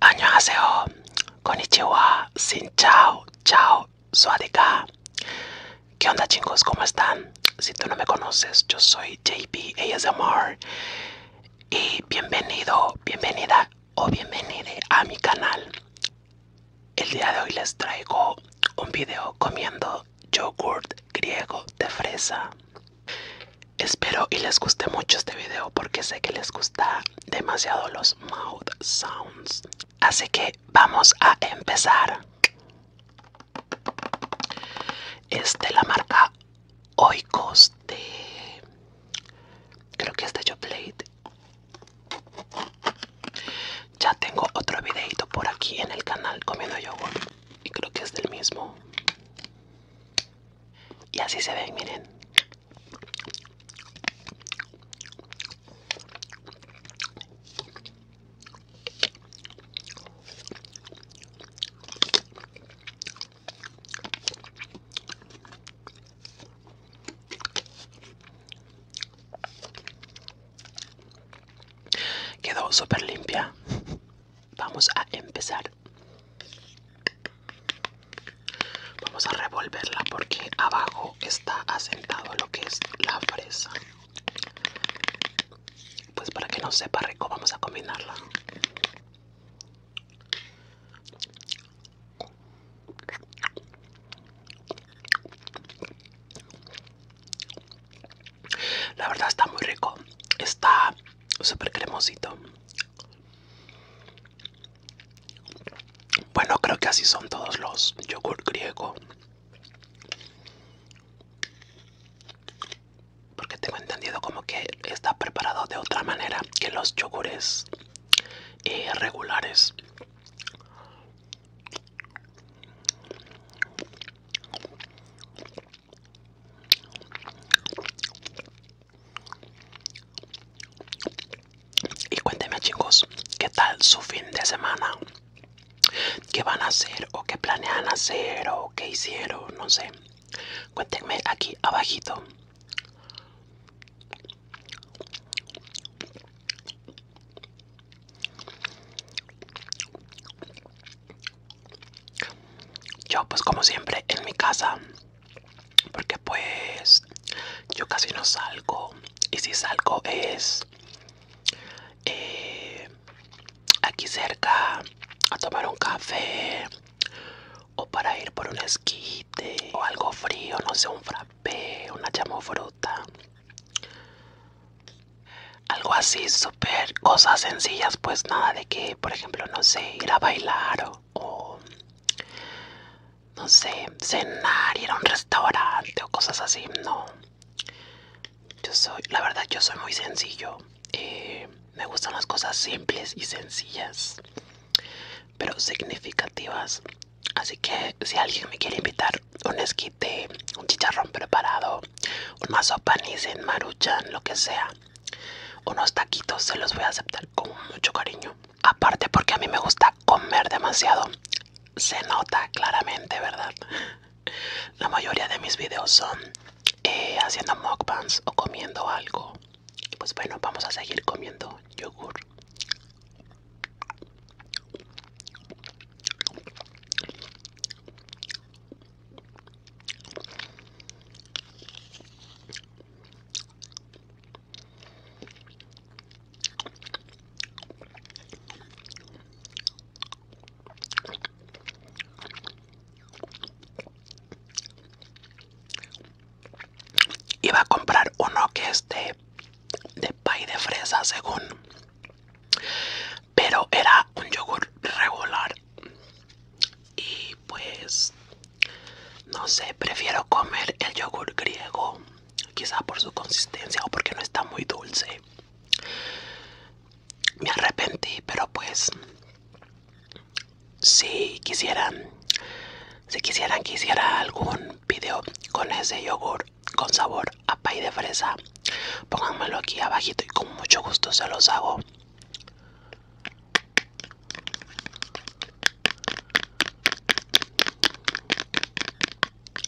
Año ASMR 안녕하세요. sin chao, chao, suadika. ¿Qué onda chicos? ¿Cómo están? Si tú no me conoces, yo soy JP ASMR y bienvenido, bienvenida o bienvenide a mi canal. El día de hoy les traigo un video comiendo yogurt griego de fresa. Espero y les guste mucho este video porque sé que les gusta demasiado los mouth sounds. Así que vamos a empezar es de la marca Oikos de creo que es de plate ya tengo otro videito por aquí en el canal comiendo yogur y creo que es del mismo y así se ven miren Quedó súper limpia. Vamos a empezar. Vamos a revolverla porque abajo está asentado lo que es la fresa. Pues para que no sepa rico vamos a combinarla. La verdad está muy rico. Está súper cremosito. Bueno, creo que así son todos los yogur griego porque tengo entendido como que está preparado de otra manera que los yogures irregulares. Eh, regulares y cuénteme chicos qué tal su fin de semana qué van a hacer o qué planean hacer o qué hicieron, no sé. Cuéntenme aquí abajito. Yo pues como siempre en mi casa, porque pues yo casi no salgo y si salgo es eh, aquí cerca a tomar un café o para ir por un esquite o algo frío, no sé, un frappé, una fruta Algo así, súper cosas sencillas, pues nada de que, por ejemplo, no sé, ir a bailar o no sé, cenar, ir a un restaurante o cosas así, no. Yo soy, la verdad, yo soy muy sencillo. Eh, me gustan las cosas simples y sencillas, pero significativas. Así que si alguien me quiere invitar un esquite, un chicharrón preparado, un mazo panicen, maruchan, lo que sea, unos taquitos, se los voy a aceptar con mucho cariño. Aparte porque a mí me gusta comer demasiado. Se nota claramente, ¿verdad? La mayoría de mis videos son eh, haciendo mukbangs o comiendo algo. pues bueno, vamos a seguir comiendo yogur. Iba a comprar uno que es de, pay de fresa, según. Pero era un yogur regular. Y pues, no sé, prefiero comer el yogur griego. Quizá por su consistencia o porque no está muy dulce me arrepentí, pero pues si quisieran, si quisieran que hiciera algún video con ese yogur con sabor a pay de fresa, pónganmelo aquí abajito y con mucho gusto se los hago.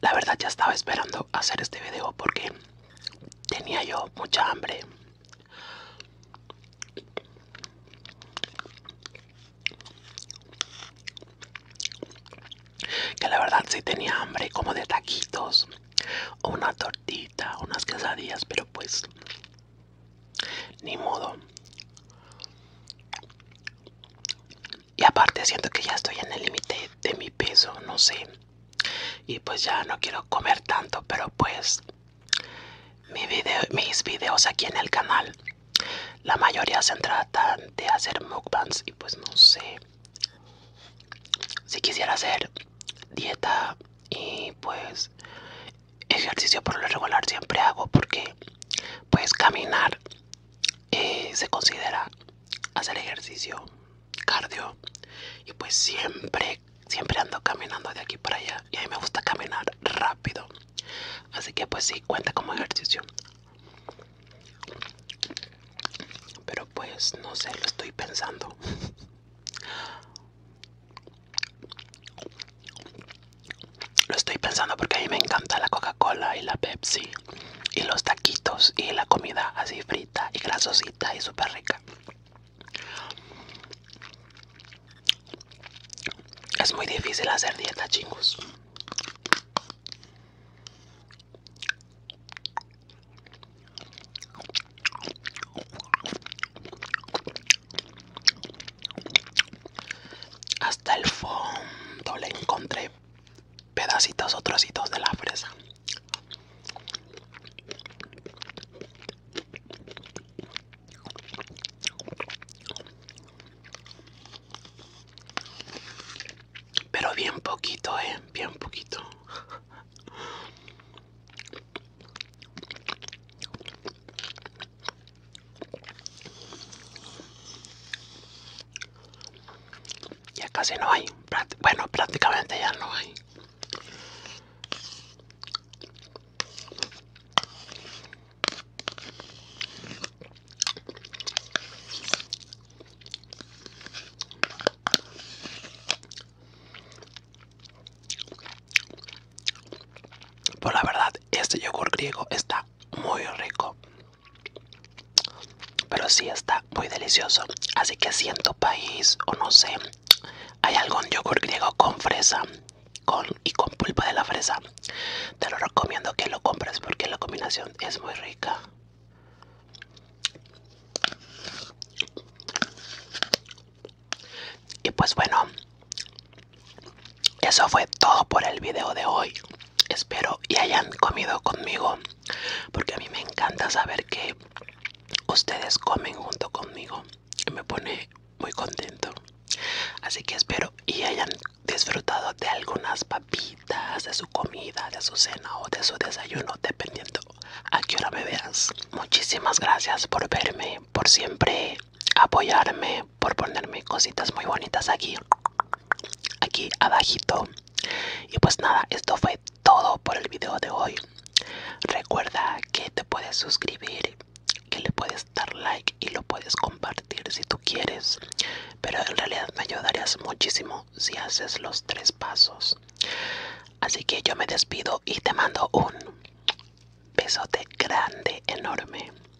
La verdad ya estaba esperando hacer este video porque tenía yo mucha hambre. Que la verdad sí tenía hambre como de taquitos o una tortita, unas quesadillas, pero pues ni modo. Y aparte siento que ya estoy en el límite de mi peso, no sé. Y pues ya no quiero comer tanto, pero pues mis videos aquí en el canal, la mayoría se trata de hacer mukbangs y pues no sé. Si quisiera hacer dieta y pues ejercicio por lo regular siempre hago porque pues caminar se considera hacer ejercicio cardio y pues siempre siempre ando caminando de aquí para allá y a mí me gusta caminar rápido así que pues sí cuenta como ejercicio pero pues no sé lo estoy pensando lo estoy pensando porque a mí me encanta la coca cola y la pepsi y los taquitos y la comida así frita y grasosita y súper rica. Es muy difícil hacer dieta, chingos. Hasta el fondo le encontré pedacitos o trocitos de la fresa. Pero bien poquito, eh, bien poquito. Ya casi no hay. Bueno, prácticamente ya no hay. por pues la verdad, este yogur griego está muy rico. Pero sí está muy delicioso. Así que si en tu país, o no sé, hay algún yogur griego con fresa con, y con pulpa de la fresa, te lo recomiendo que lo compres porque la combinación es muy rica. Y pues bueno, eso fue todo por el video de hoy espero y hayan comido conmigo porque a mí me encanta saber que ustedes comen junto conmigo y me pone muy contento así que espero y hayan disfrutado de algunas papitas de su comida de su cena o de su desayuno dependiendo a qué hora me veas muchísimas gracias por verme por siempre apoyarme por ponerme cositas muy bonitas aquí aquí abajito y pues nada esto fue todo por el video de hoy recuerda que te puedes suscribir que le puedes dar like y lo puedes compartir si tú quieres pero en realidad me ayudarías muchísimo si haces los tres pasos así que yo me despido y te mando un besote grande enorme